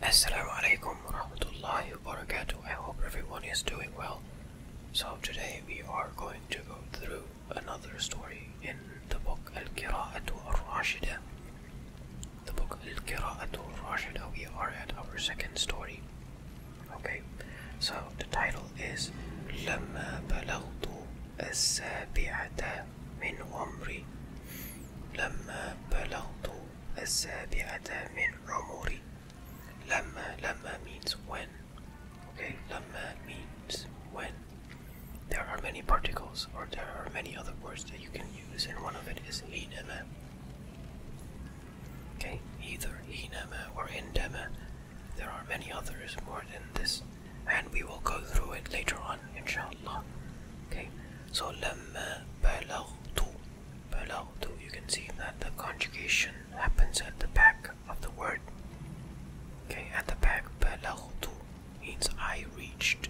Assalamu alaikum warahmatullahi wabarakatuh. I hope everyone is doing well. So today we are going to go through another story in the book Al-Qira'atu Ar-Rashida. The book Al-Qira'atu Ar-Rashida. We are at our second story. Okay. So the title is لما بلغت السابعة من عمري لما بلغت السابعة من عمري لما لما means when okay لما means when there are many particles or there are many other words that you can use and one of it is حينما okay either حينما or عندما there are many others more than this and we will go through it later on inshallah okay so لما بلغت Below, you can see that the conjugation happens at the back of the word. Okay, at the back, below means I reached.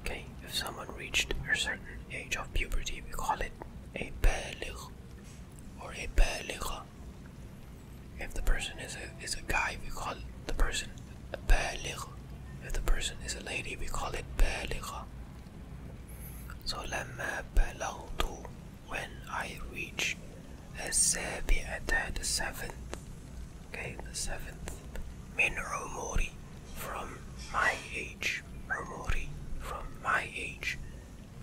Okay, if someone reached a certain age of puberty, we call it a baligh or a baligha. If the person is a is a guy, we call the person a baligh. If the person is a lady, we call it baligha. So let me when I reach the seventh, okay, the seventh min from my age, Romori from my age.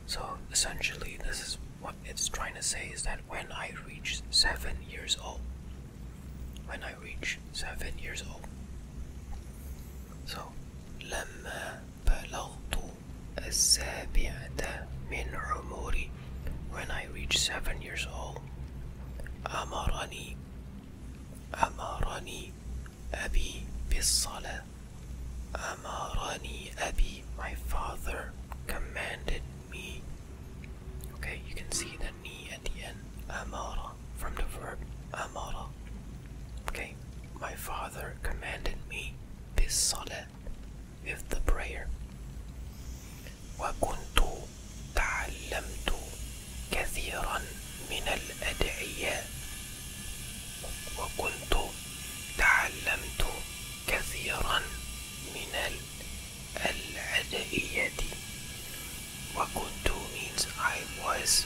So essentially, this is what it's trying to say is that when I reach seven years old, when I. I reached seven years old. So لما بلغت السابعة من عمري when I reached seven years old أمرني أمرني أبي بالصلاة أمرني أبي my father commanded me okay you can see the knee at the end أمرني saw from the verb uh, model. Okay, my father commanded me this salat with the prayer. وكنت تعلمت كثيرا من الأدعية وكنت تعلمت كثيرا من الأدعية Wakuntu means I was.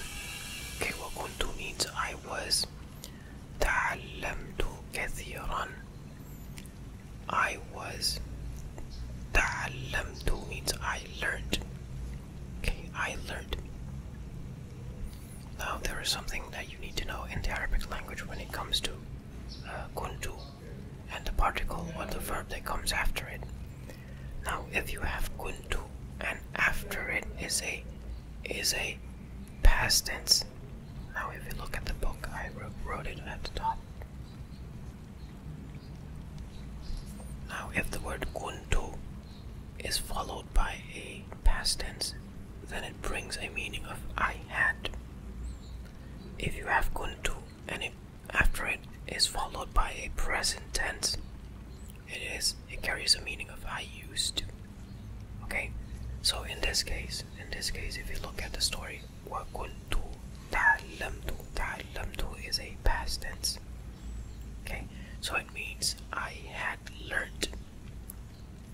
Okay, Wakuntu means I was. Ta'allamtu kathiran. I was. Ta'allamtu means I learned. Okay, I learned. Now there is something that you need to know in the Arabic language when it comes to uh, kuntu and the particle or the verb that comes after it. Now if you have kuntu and after it is a is a past tense. Now if you look at the book I wrote it at the top. Now if the word kuntu is followed by a past tense, then it brings a meaning of I had. If you have kuntu and it, after it is followed by a present tense, it is it carries a meaning of I used to. Okay? So in this case, in this case if you look at the story, what Wakuntu Talamtu Talamtu is a past tense. Okay, so it means I had learned.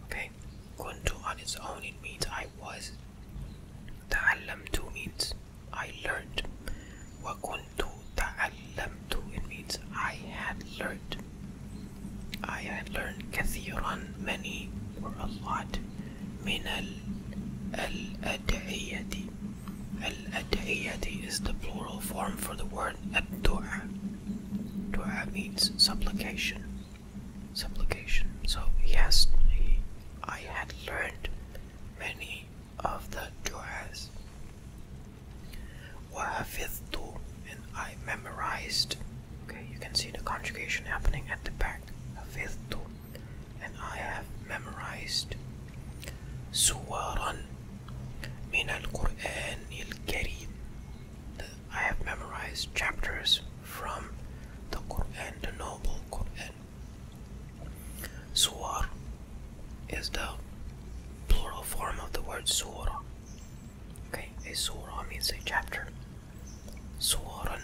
Okay, Kuntu on its own it means I was. Ta'allamtu means I learned. وَكُنْتُ تَعَلَّمْتُ It means I had learned. I had learned كثيرا many or a lot من الأدعية الأدعية is the plural form for the word الدعاء Dua means supplication supplication so yes I had learned many of the I have read وَحَفِظْتُ And I memorized. Okay, you can see the conjugation happening at the back. حَفِظْتُ And I have memorized. min al Qur'an il الْكَرِيمِ I have memorized chapters from the Quran, the Noble Quran. Suwar is the plural form of the word surah. Okay, a surah means a chapter. Suwaran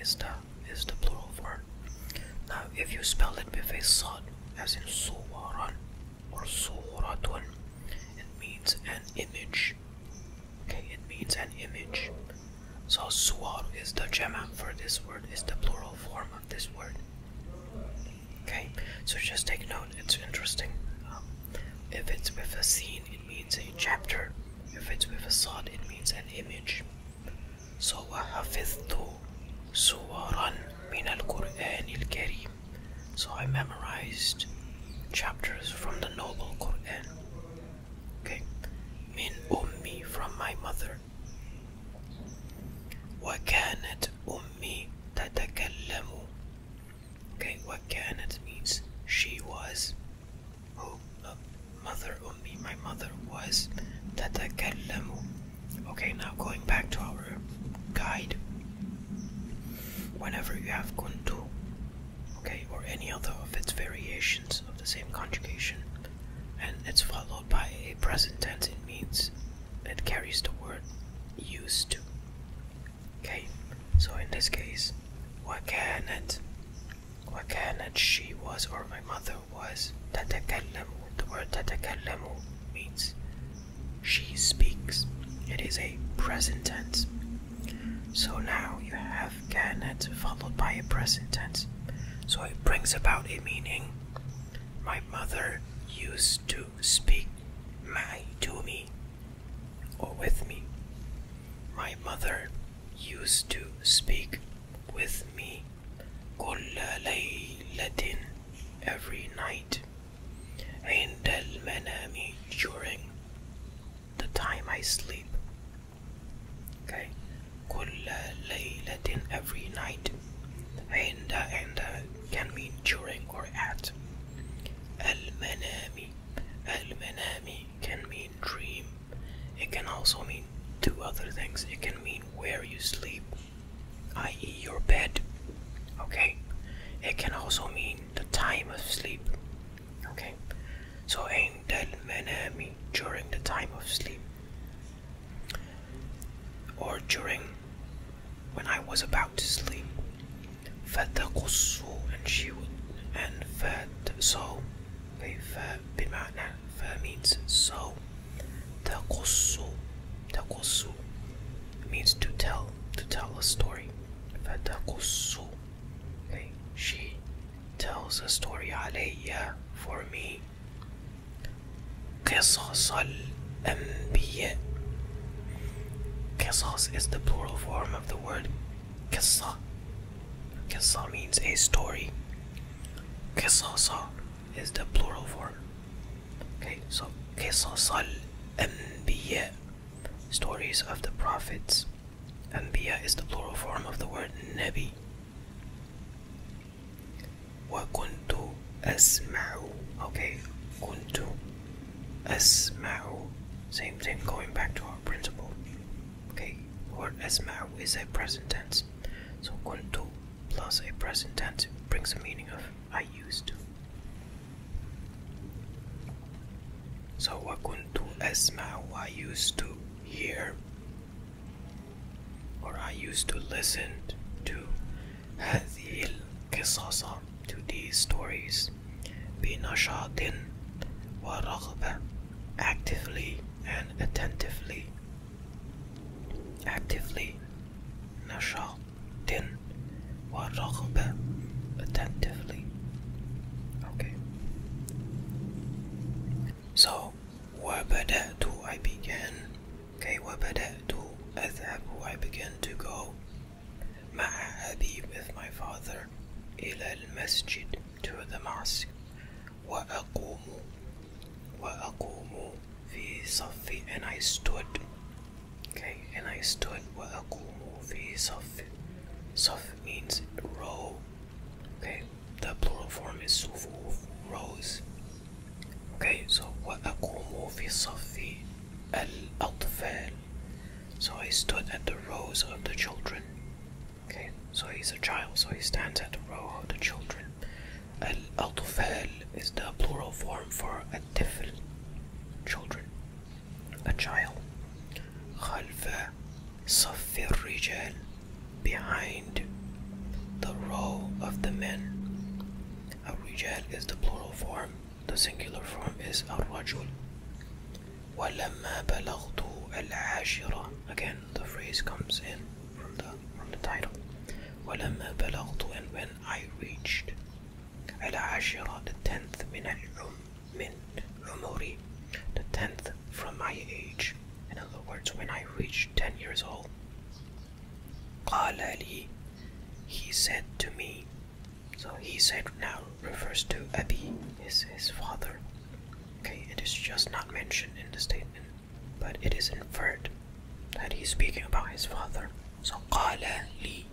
is the is the plural form. Now if you spell it with a sod as in suwaran or suratun, it means an image. Okay, it means an image. So suwar is the gem for this word is the plural form this word. Okay, so just take note, it's interesting. Um, if it's with a scene, it means a chapter. If it's with a sword, it means an image. So, وَحَفِظْتُ سُوَرًا مِنَ الْقُرْآنِ الْكَرِيمِ So I memorized chapters from the Noble Quran. Okay, min ummi from my mother. وَكَانَتْ ummi تتكلم Okay, what كانت means she was who uh, mother ummi my mother was تتكلم Okay, now going back to our guide whenever you have kuntu okay or any other of its variations of the same conjugation and it's followed by a present tense it means it carries the word used to. Okay, so in this case, what What can it? can it? she was or my mother was تتكلم. The word تتكلم means she speaks. It is a present tense. So now you have كانت followed by a present tense. So it brings about a meaning. My mother used to speak my to me or with me. My mother used to speak with me every night and during the time I sleep. Okay, every night عند عند uh, uh, can mean during or at المنام المنام can mean dream it can also mean two other things it can mean where you sleep i.e. your bed okay it can also mean the time of sleep okay so عند المنام during the time of sleep or during when I was about to sleep. فتقص and she would and fat so بمعنى ف means so تقص تقص means to tell to tell a story فتقص okay she tells a story علي for me قصص الأنبياء قصص is the plural form of the word قصة قصة means a story قصص is the plural form okay so قصص الأنبياء stories of the prophets Anbiya is the plural form of the word Nabi وكنت أسمع okay كنت أسمع same thing going back to our principle okay word أسمع is a present tense so كنت plus a present tense brings the meaning of I used to so وكنت أسمع I used to hear or I used to listen to هذه القصص to these stories بنشاط ورغبة actively and attentively actively نشاط ورغبة attentively okay so وبدأت I begin? كي وبدأت أذهب I began to go مع أبي with my father إلى المسجد to the mosque وأقوم وأقوم في صف and I stood okay and I stood وأقوم في صف صف means row okay the plural form is صفوف rows Okay, so وأقوم في صف الأطفال. So he stood at the rows of the children. Okay, so he's a child, so he stands at the row of the children. الأطفال is the plural form for الطفل, children, a child. خلف صف الرجال, behind the row of the men. الرجال is the plural form the singular form is الرجل ولما بلغت العاشرة again the phrase comes in from the from the title ولما بلغت and when I reached the tenth من العم من عمري the tenth from my age in other words when I reached ten years old قال لي he said to me, so he said now refers to Abi, is his father. Okay, it is just not mentioned in the statement, but it is inferred that he's speaking about his father. So qala li.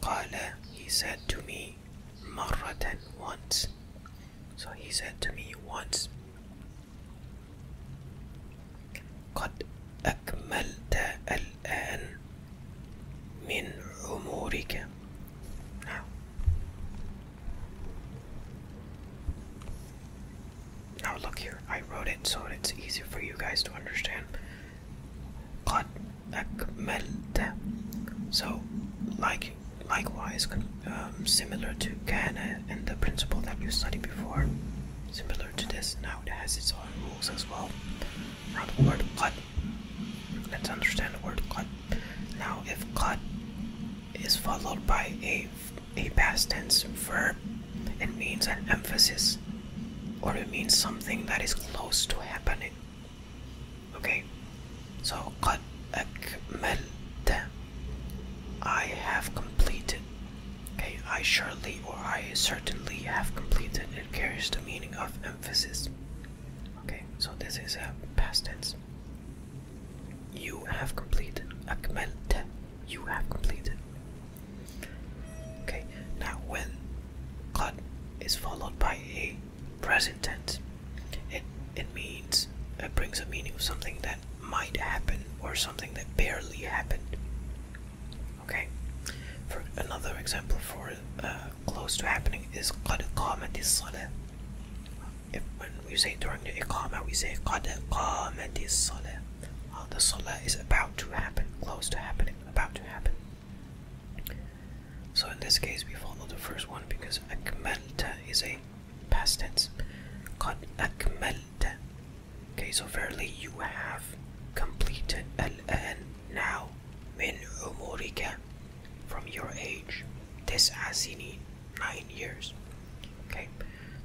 Qala, he said to me, marratan once. So he said to me once. قد أكملت الآن من عمرك now now look here I wrote it so it's easier for you guys to understand قد أكملت so like likewise um, similar to Ghana and the principle that you studied before similar to this now it has its own rules as well. the word cut. Let's understand the word cut. Now if cut is followed by a a past tense verb, it means an emphasis or it means something that is close to happening. Okay. So قد أكملت I have completed Okay, I surely or I certainly have completed. It carries the meaning of emphasis. Okay, so this is a past tense. You have completed. Akmelte. You have completed. Okay, now when qad is followed by a present tense, it it means it brings a meaning of something that might happen or something that barely happened. Okay. For another example for uh, close to happening is قد قامت الصلاة. If when we say during the iqama, we say قد قامت الصلاة. the salah is about to happen, close to happening, about to happen. So in this case, we follow the first one because akmalta is a past tense. قد أكملت Okay, so fairly you have completed الآن now من عمرك from your age تسع سنين nine years. Okay,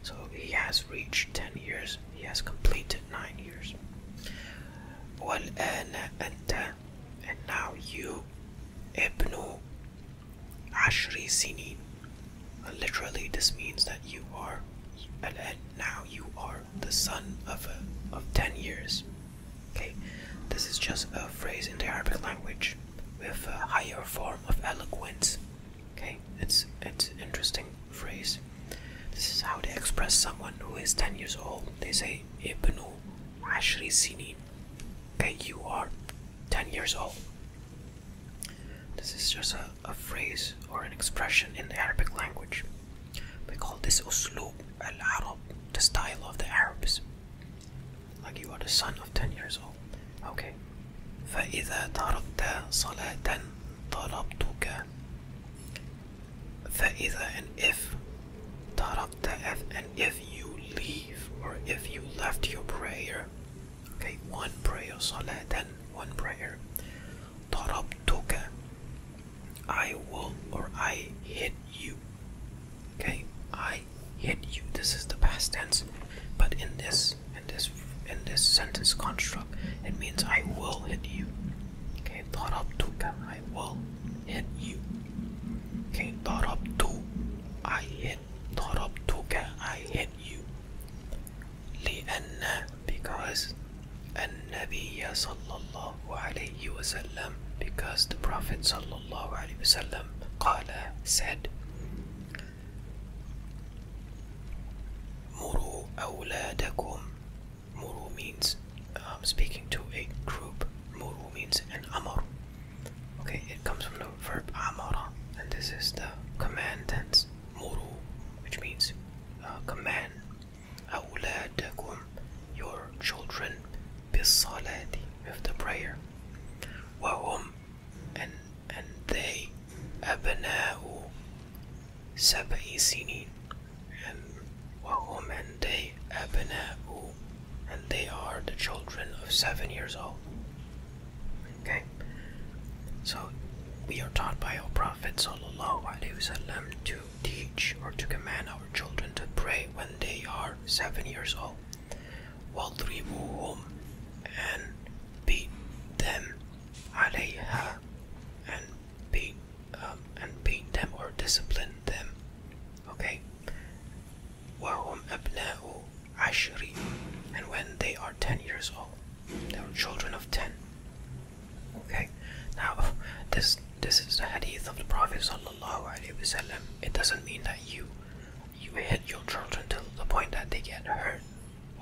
so he has reached ten years. He has completed nine years. والآن أنت and now you ابن عشر سنين. Literally, this means that you are الآن now you are the son of, of 10 years. Okay, this is just a phrase in the Arabic language with a higher form of eloquence. Okay, it's, it's an interesting phrase. This is how they express someone who is 10 years old. They say, Ibnu Ashri Sinin. Okay, you are 10 years old. This is just a, a phrase or an expression in the Arabic language. We call this uslub al-Arab, the style of the Arabs. Like you are the son of 10 years old. Okay. فَإِذَا تَرَكْتَ صَلَاةً طَلَبْتُكَ فَإِذَا and if تَرَكْتَ and if you leave or if you left your prayer. Okay, one prayer, Then one prayer. Tarabtuka, I will or I hit you. Okay, I hit you. This is the past tense, but in this in this in this sentence construct, it means I will hit you. Okay, tarabtuka, I will hit you. Okay, tarabtu, I hit. Tarabtuka, I hit you because the Prophet صلى الله عليه وسلم قال said مروا أولادكم مروا means speaking to a group Muru means an amar okay it comes from the verb amara and this is the command tense muru which means uh, command أولادكم your children بالصلاة with the prayer وهم and, and they أبناء سبع سنين and وهم and they أبناء and they are the children of seven years old okay so we are taught by our prophets, Allah وسلم, to teach or to command our children to pray when they are seven years old. وَضْرِبُوهُمْ and beat them عليها and beat um, and beat them or discipline them. Okay. وَهُمْ أَبْنَاءُ and when they are ten years old. They are children of ten. Okay, now this this is the hadith of the Prophet wasallam. It doesn't mean that you you hit your children to the point that they get hurt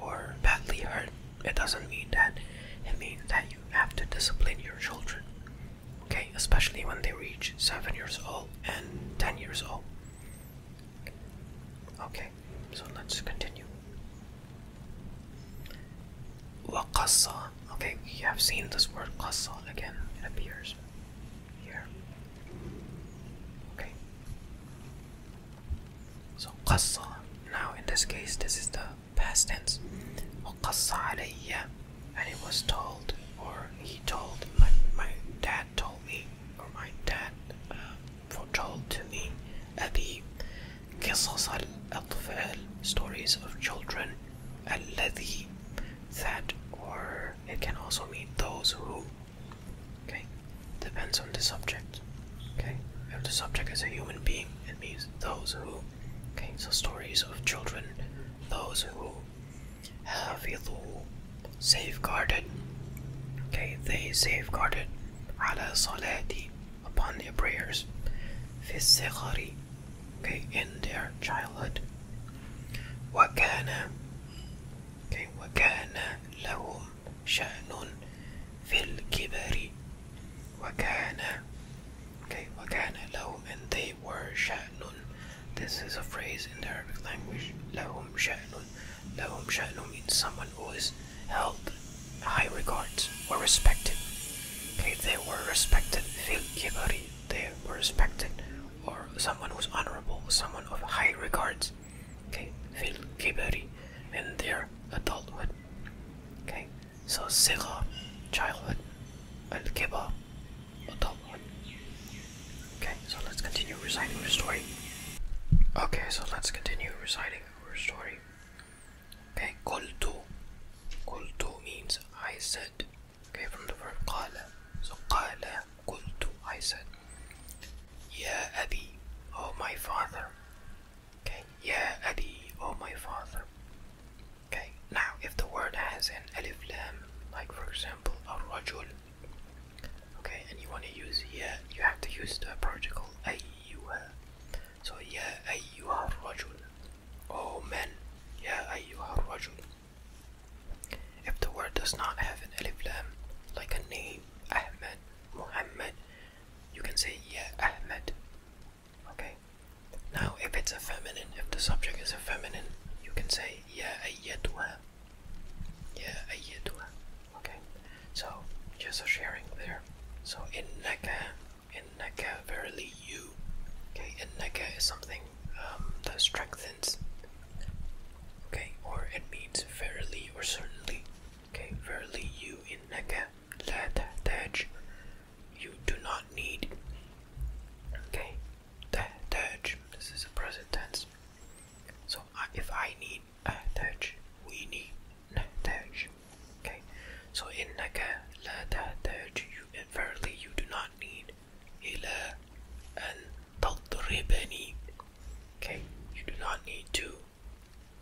or badly hurt. It doesn't mean that. It means that you have to discipline your children. Okay, especially when they reach seven years old and ten years old. Okay, so let's continue. Waqasa. Okay, we have seen this word qasa again. It appears here. Okay. So qasa. Now in this case, this is the past tense. وقص علي. And it was told, or he told, my, my dad told me, or my dad uh, foretold to me, Abi. قصص الأطفال stories of children الذي that or it can also mean those who okay depends on the subject okay if the subject is a human being it means those who okay so stories of children those who have safeguarded okay they safeguarded على صلاتي upon their prayers okay, in their childhood. وَكَانَ okay, وَكَانَ لَهُمْ شَأْنٌ فِي الْكِبَرِ وَكَانَ okay, وَكَانَ لَهُمْ and they were شَأْنٌ this is a phrase in the Arabic language لَهُمْ شَأْنٌ لَهُمْ شَأْنٌ means someone who is held high regards were respected. Okay, they were respected. They were respected, or someone who's honorable, someone of high regards. Okay, in their adulthood. Okay, so sigha, childhood, and kiba, adulthood. Okay, so let's continue reciting the story. Okay, so let's continue reciting our story. Okay, قلت قلت means I said. Okay, from the word قال. So قال قلت I said. يا أبي oh my father. Okay, يا أبي oh my father. Okay, now if the word has an alif lam, like for example الرجل. Okay, and you want to use يا, you have to use the particle أيها. So يا أيها الرجل Oh men يا أيها الرجل If the word does not have an alif lam like a name Ahmed, Muhammad you can say يا Ahmed Okay Now if it's a feminine if the subject is a feminine you can say yeah أيتها يا أيتها Okay so just a sharing there so in إنك in naka verily you. Okay, and naka is something um, that strengthens. Okay, or it means verily or certainly. Okay, verily you in naka la taj. You do not need. Okay, taj. This is a present tense. So if I need a uh, touch, we need نتاج. So إنك لا تحتاج apparently you do not need إلى أن تضربني. Okay, you do not need to.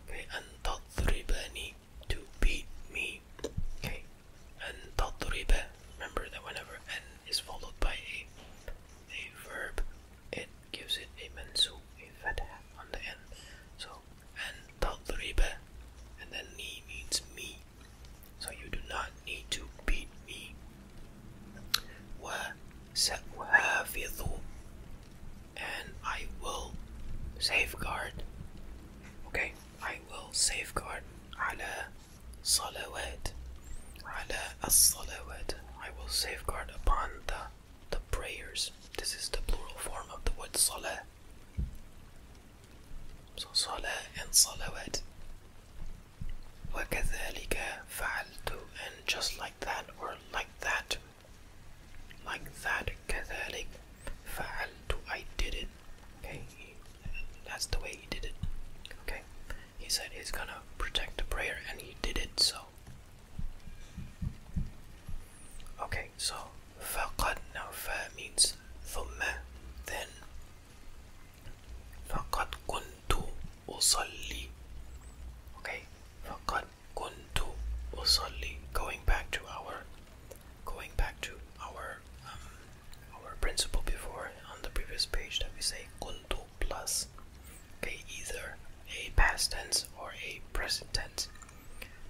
Okay, أن تضربني to beat me. Okay, أن تضرب. Remember that whenever أن is followed by a a verb, it gives it a mansub, a fatha the end. So and tadriba and then ni means me so you do not need to beat me and I will safeguard okay I will safeguard على صلوات على الصلوات I will safeguard upon the the prayers this is the plural form of the word salah so صلاة صلوات وكذلك فعلت and just like that or like that like that كذلك فعلت I did it okay that's the way he did it okay he said he's gonna protect the prayer and he did it so okay so فقد now فا then فقد كنت أصلي okay فقد كنت أصلي going back to our going back to our um, our principle before on the previous page that we say kuntu plus okay either a past tense or a present tense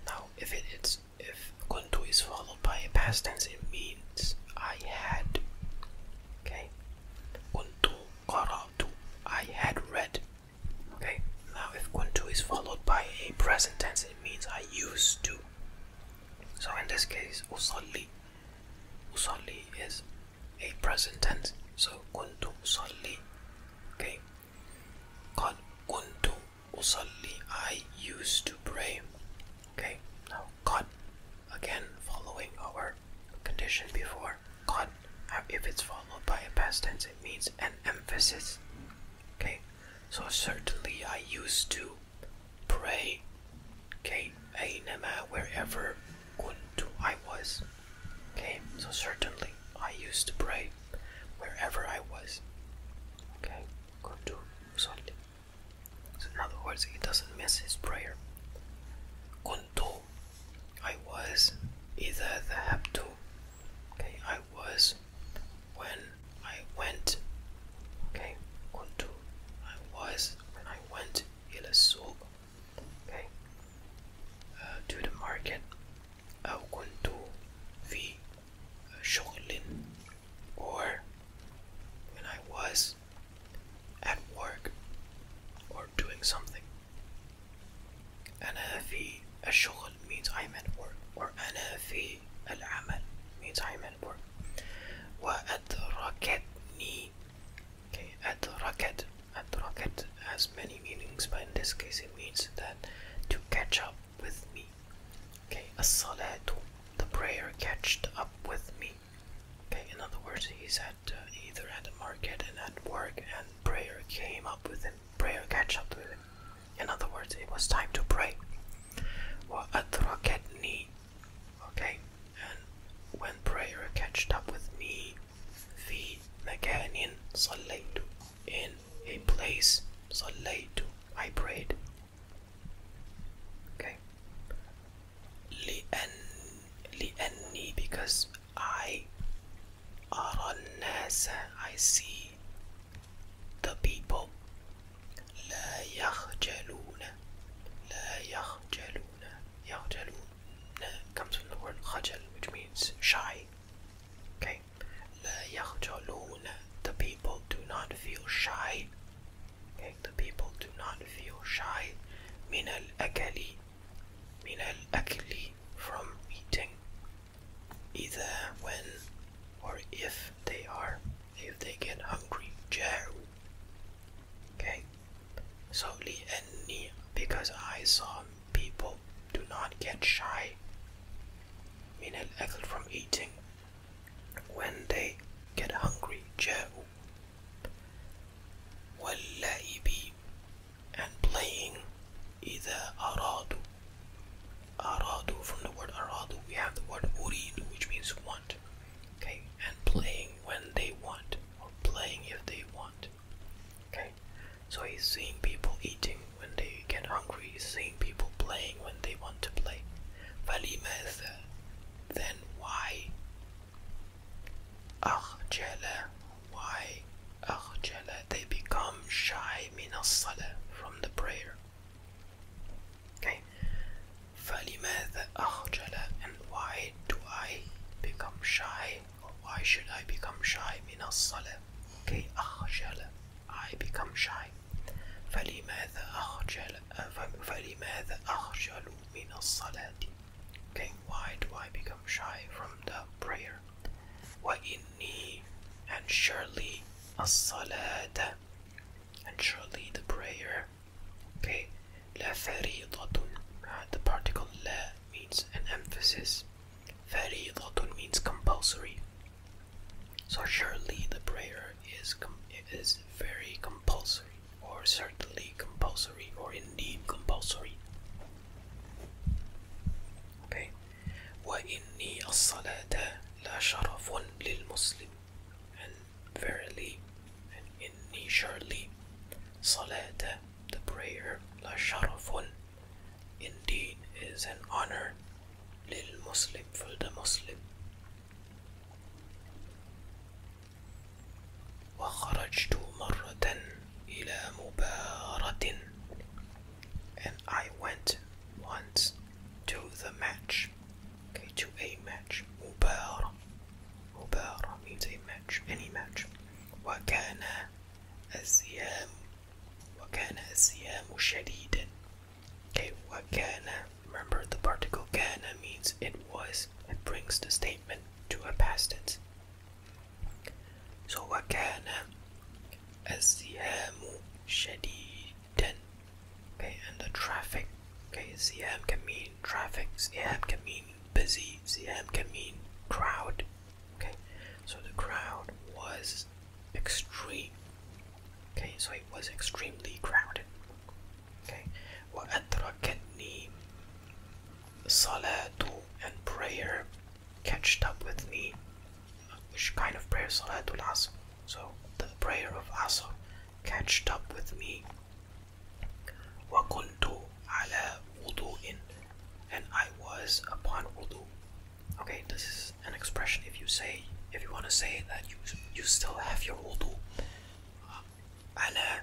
now if it's if kuntu is followed by a past tense, it means I had. Okay, kuntu qara'tu. I had read. Okay, now if kuntu is followed by a present tense, it means I used to. So in this case, usalli. Usalli is a present tense. So kuntu usalli. Okay, قال كنت أصلي I used to pray okay now God again following our condition before God. if it's followed by a past tense it means an emphasis okay so certainly I used to pray okay أينما wherever God I was okay so certainly I used to pray wherever I was okay in other words, he doesn't miss his prayer. كنت I was either the ذهبت okay I was when I went okay كنت I was when I went إلى okay uh, to the market أو كنت في Shaolin, or when I was at work or doing something. أنا في الشغل means I'm at work or أنا في العمل means I'm at work وأدركتني okay, أدركت أدركت has many meanings but in this case it means that to catch up with me. Okay, as-salatu, the prayer catched up with me. Okay, in other words, he's at uh, either at the market and at work, and prayer came up with him. Prayer catched up with him. In other words, it was time to pray. Wa adrakatni. Okay, and when prayer catched up with me, fi makanin sallaytu in a place so late I prayed. Okay. لأني because I أرى الناس I see the people لا يخجلون لا يخجلون يخجلون comes from the word خجل which means shy okay La yahjaloon. The people do not feel shy. the people do not feel shy. Min al akali. Min al akali. From eating. Either when or if they are. If they get hungry. Jaru. Okay. So li enni. Because I saw people do not get shy. Min al akal from eating when they get hungry Joe. let جاءوا be, and playing إذا أرادوا aradu from the word aradu we have the word uridu which means want okay and playing when they want or playing if they want okay so he's seeing people eating when they get hungry, seeing people playing when they want to play. Valima Then why? Arjala, why? Arjala, they become shy minas from the prayer. Okay. فَلِمَاذَا أَخْجَلَ And why do I become shy? why should I become shy? من الصلاة Okay, أخجل I become shy فلماذا أخجل فلماذا أخجل من الصلاة Then why do I become shy from the prayer وإني and surely الصلاة and surely the prayer uh, the particle لا means an emphasis فريضة means compulsory so surely the prayer is is very compulsory, or certainly compulsory, or indeed compulsory. Okay. وإني الصلاة لا شرف للمسلم. And verily, and inni surely, the prayer, la sharafun, indeed is an honor للمسلم فلد مسلم وخرجت مرة إلى مباراة and I went once to the match okay, to a match مباراة مباراة means a match any match وكان الزيام وكان الزيام شديدا Okay, what kana? Remember the particle kana means it was. It brings the statement to a past tense. So what kana? Azihamu and the traffic. Okay, can mean traffic. Ziham can mean busy. Ziham can mean crowd. Okay, so the crowd was extreme. Okay, so it was extremely crowded. Okay, وأدركتني صلاة and prayer catched up with me. Which kind of prayer? Salatul Asr. So the prayer of Asr catched up with me. وكنت على وضوء and I was upon wudu. Okay, this is an expression if you say, if you want to say that you you still have your wudu. أنا uh,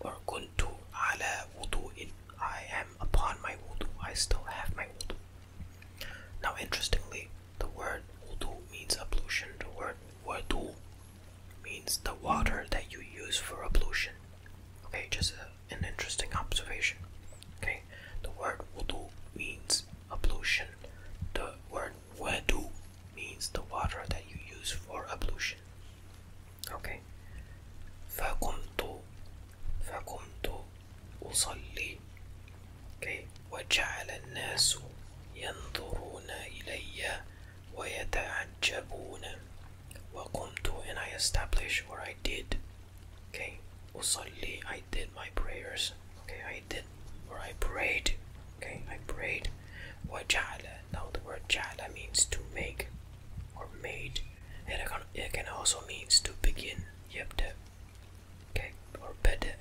or كنت على wudu. I am upon my wudu. I still have my wudu. Now, interestingly, the word wudu means ablution. The word wudu means the water that you use for ablution. Okay, just an interesting observation. Okay, the word wudu means ablution. The word wadu means the water that you use for ablution. Okay. فَقُمْتُ فَقُمْتُ أُصَلِّي Okay. وَجَعَلَ النَّاسُ يَنْظُرُونَ إِلَيَّ وَيَتَعَجَّبُونَ وَقُمْتُ And I establish or I did suddenly I did my prayers. Okay, I did or I prayed. Okay, I prayed. Wajala. Now the word jala means to make or made. And it can, it can also means to begin. Yabda. Okay, or beda.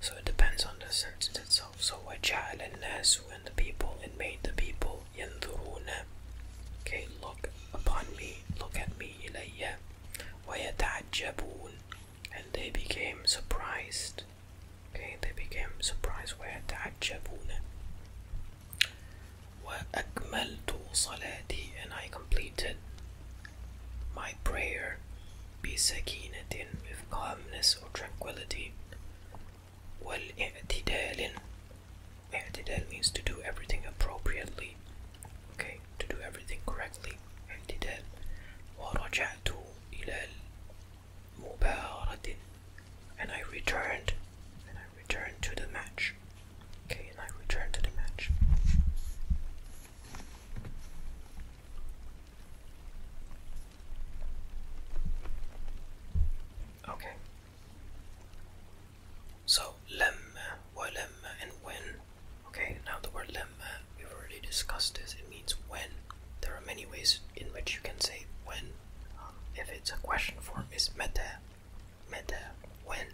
So it depends on the sentence itself. So wajala nasu and the people and made the people yanduruna. Okay, look upon me, look at me, ilayya. ويتعجبون and they became surprised. Okay, they became surprised ويتعجبون وأكملت صلاتي and I completed my prayer Be بسكينة with calmness or tranquility والاعتدال اعتدال means to do everything appropriately okay to do everything correctly امتداد ورجعت إلى المباراة and I returned and I returned to the match okay and I returned to the match okay so لما ولما and when Okay, now the word lemma, uh, we've already discussed this. It means when. There are many ways in which you can say when. Um, if it's a question form, it's meta, meta, when.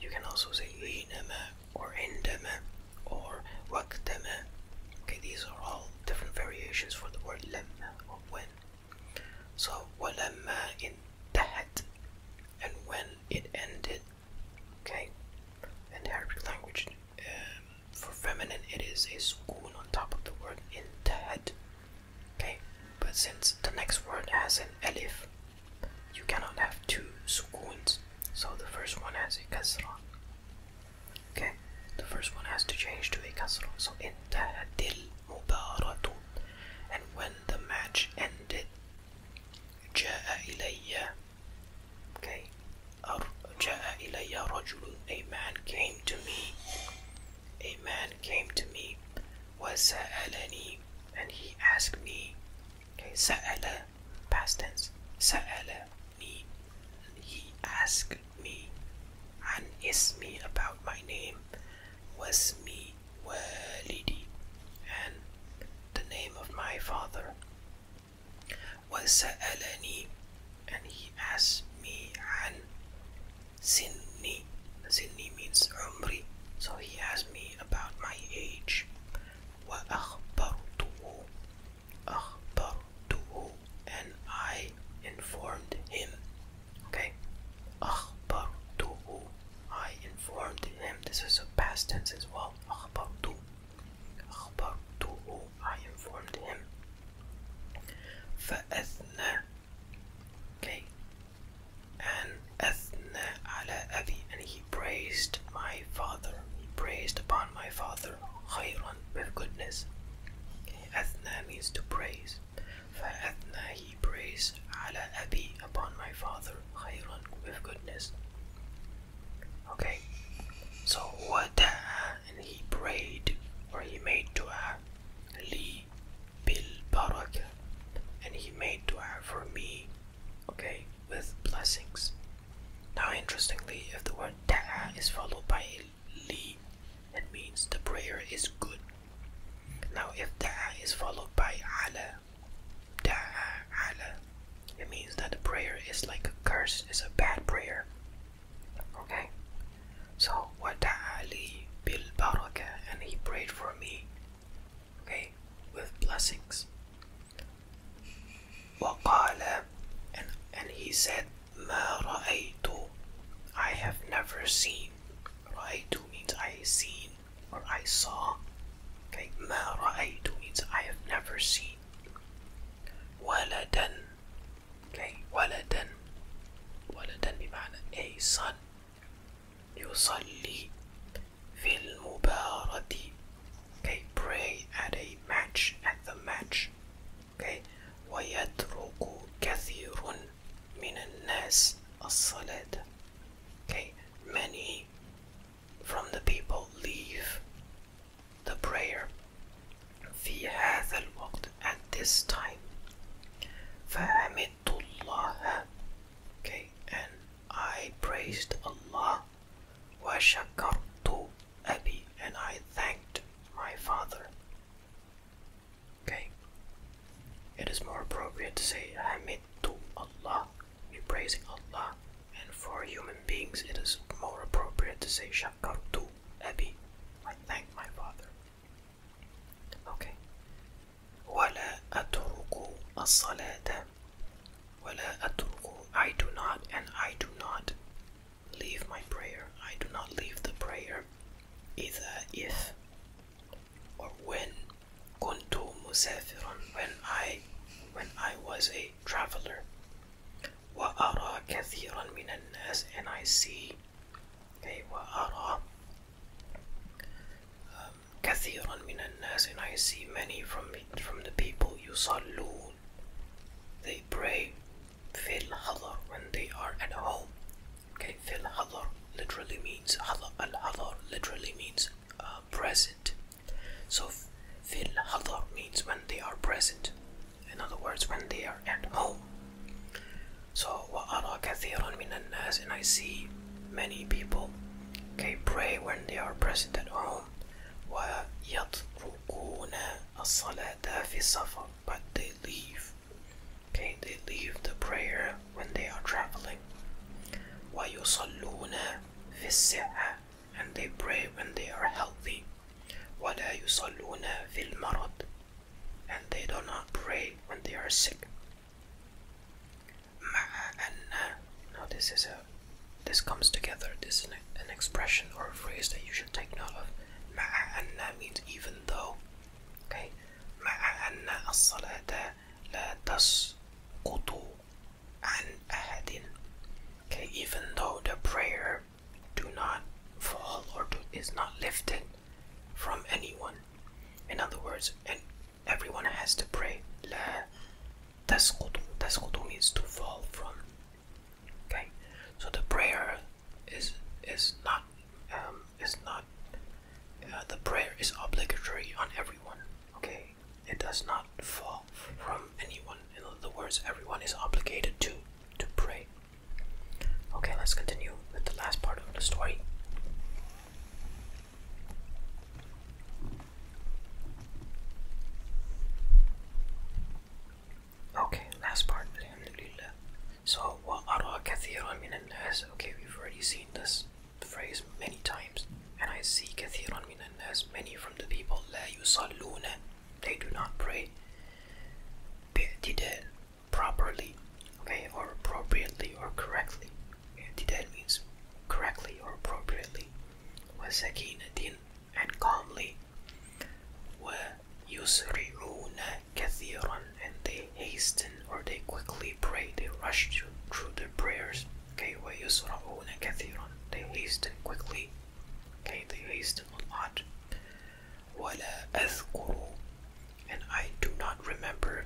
You can also say inama or indama or waqtama. Okay, these are all different variations for the word lemma or when. So walamma intahat and when it ended Okay, in the Arabic language, um, for feminine it is a sukoon on top of the word intahad. Okay, but since the next word has an alif, you cannot have two sukoons. So the first one has a kasra. Okay, the first one has to change to a kasra. So intahadil mubaratun. And when the match ended, جاء إلي Okay. جاء إلي رجل. A man came to me. A man came to me. وسألني. And he asked me. Okay. سأل. Past tense. سألني. He asked me. عن اسمي about my name. واسمي والدي. And the name of my father. وسألني and he asked me عن سني سني means عمري so he asked me about my age وأخبرته أخبرته and I informed him okay أخبرته I informed him this is a past tense as well أخبرته أخبرته I informed him فأثنى okay and أثنى على أبي and he praised my father he praised upon my father خيرا with goodness okay. أثنى means to praise For فأثنى he praised على أبي upon my father خيرا with goodness Okay, so what and he prayed or he made dua li bil barak and he made dua for me, okay, with blessings. Now, interestingly, if the word da'a is followed by li, it means the prayer is good. Now, if da'a is followed by ala, it means that the prayer is like a curse, it's a bad prayer. Okay? So, wa ta'ali bil baraka, and he prayed for me, okay, with blessings. Wa qala, and, and he said, ma ra'aytu, I have never seen. Ra'aytu means I seen or I saw. Okay, ma ra'aytu means I have never seen. ولدا okay ولدا ولدا بمعنى أي son يصلي في المباردة okay pray at a match at the match okay ويترك كثير من الناس الصلاة okay many from the people leave the prayer في هذا الوقت at this time فحمدت الله okay and I praised Allah وشكرت أبي and I thanked my father okay it is more appropriate to say I to Allah we praising Allah, and for human beings it is more appropriate to say Shakartu Abi. I thank my father. Okay. وَلَا أَتْرُكُ الصَّلَاةَ وَلَا أَتْرُكُ I do not and I do not leave my prayer. I do not leave the prayer. Either if or when كنت مسافرا when I when I was a Traveler, traveler. وَأَرَى كَثِيرًا مِنَ النَّاسِ And I see, okay, وَأَرَى um, كَثِيرًا مِنَ النَّاسِ And I see many from, from the people يُصَلُّونَ They pray فِي الْحَضَرِ When they are at home. Okay, فِي الْحَضَرِ literally means, al-hadar literally means uh, present. So, fil hadar means when they are present. In other words, when they are at home. So, wa وَأَرَى kathirun مِنَ nas, And I see many people, okay, pray when they are present at home. Wa وَيَتْرُكُونَ الصَّلَاةَ فِي السَّفَرِ But they leave, okay, they leave the prayer when they are traveling. Wa وَيُصَلُّونَ فِي السِّعَةِ and they pray when they are healthy. وَلَا يُصَلُّونَ فِي الْمَرَضِ And they do not pray when they are sick. Now this is a this comes together. This is an, expression or a phrase that you should take note of. مَعَ means even though. Okay. مَعَ أَنَّ الصَّلَاةَ لَا تَسْقُطُ and a heading. Okay, even though the prayer do not fall or is not lifted from anyone. In other words, everyone has to pray. La tasqutu. Tasqutu means to fall from. Okay, so the prayer is is not um, is not uh, the prayer is obligatory on everyone. Okay, it does not fall from anyone. In other words, everyone is obligated to to pray. Okay, let's continue with the last part of the story. Okay, last part. Alhamdulillah. So, وَأَرَى كَثِيرًا مِنَ النَّاسِ Okay, we've already seen this phrase many times. And I see kathiran minan النَّاسِ Many from the people. لَا يُصَلُّونَ they do not pray did properly okay or appropriately or correctly didn't means correctly or appropriately وسكينة and calmly ويسرعون كثيرا and they hasten or they quickly pray they rush through, their prayers okay ويسرعون كثيرا they hasten quickly Okay, they waste a lot. وَلَا أَذْكُرُ And I do not remember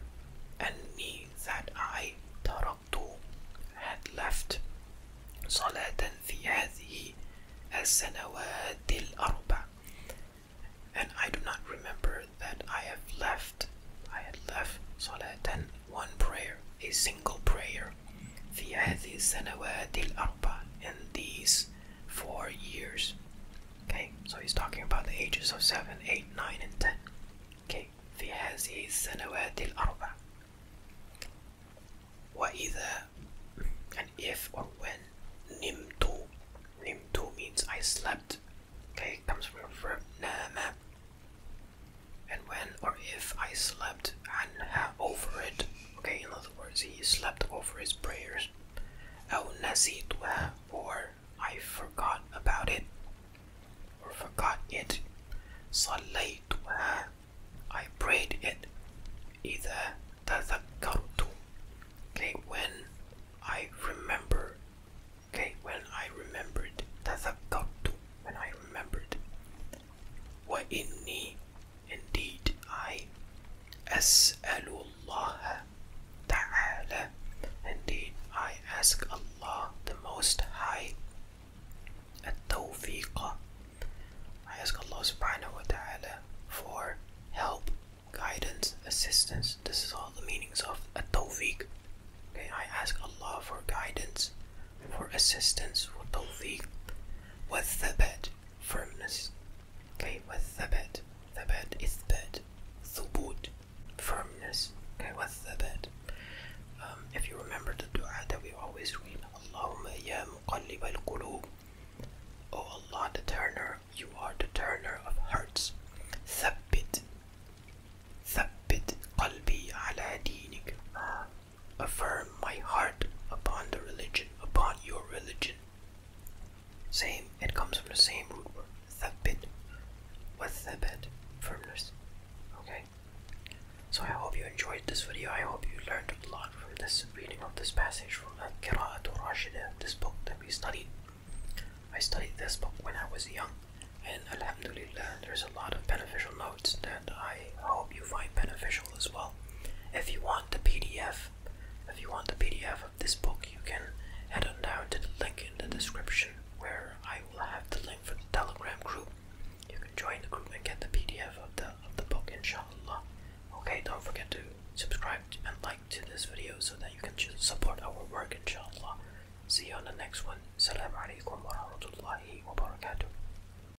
أَنِّي That I Had left صَلَاةً فِي هَذِهِ السَّنَوَاتِ الْأَرْبَعِ And I do not remember that I have left I had left صَلَاةً One prayer a single prayer في هذه السنوات الأربع in these four years okay so he's talking about the ages of seven, eight, nine, and 10 okay في هذه السنوات What is وإذا and if or when نمت نمت means I slept okay comes from the verb نام and when or if I slept عنها over it Okay, in other words, he slept over his prayers. أو نسيتها or I forgot about it or forgot it. صليتها I prayed it. إذا تذكرت Okay, when I remember. Okay, when I remembered. تذكرت when I remembered. وإني indeed I أسأل الله تعالى indeed I ask Allah the Most High التوفيق I ask Allah subhanahu wa ta'ala for help, guidance, assistance. This is all the meanings of at tawfiq. Okay, I ask Allah for guidance, for assistance with the والثبات firmness okay with the the والثبات ثبات إثبات ثبوت firmness okay with the um, if you remember the dua that we always read اللهم يا مقلب القلوب Oh Allah the turner you are the turner of hearts ثبت ثبت قلبي على دينك affirm my heart upon the religion, upon your religion. Same, it comes from the same root word, thabit, with thabit, firmness. Okay? So I hope you enjoyed this video. I hope you learned a lot from this reading of this passage from Al-Qira'at Rashida, this book that we studied. I studied this book when I was young, and alhamdulillah, there's a lot of beneficial knowledge notes that I hope you find beneficial as well. If you want the PDF, if you want the PDF of this book, you can head on down to the link in the description where I will have the link for the Telegram group. You can join the group and get the PDF of the of the book, inshallah. Okay, don't forget to subscribe and like to this video so that you can support our work, inshallah. See you on the next one. Salam alaikum wa rahmatullahi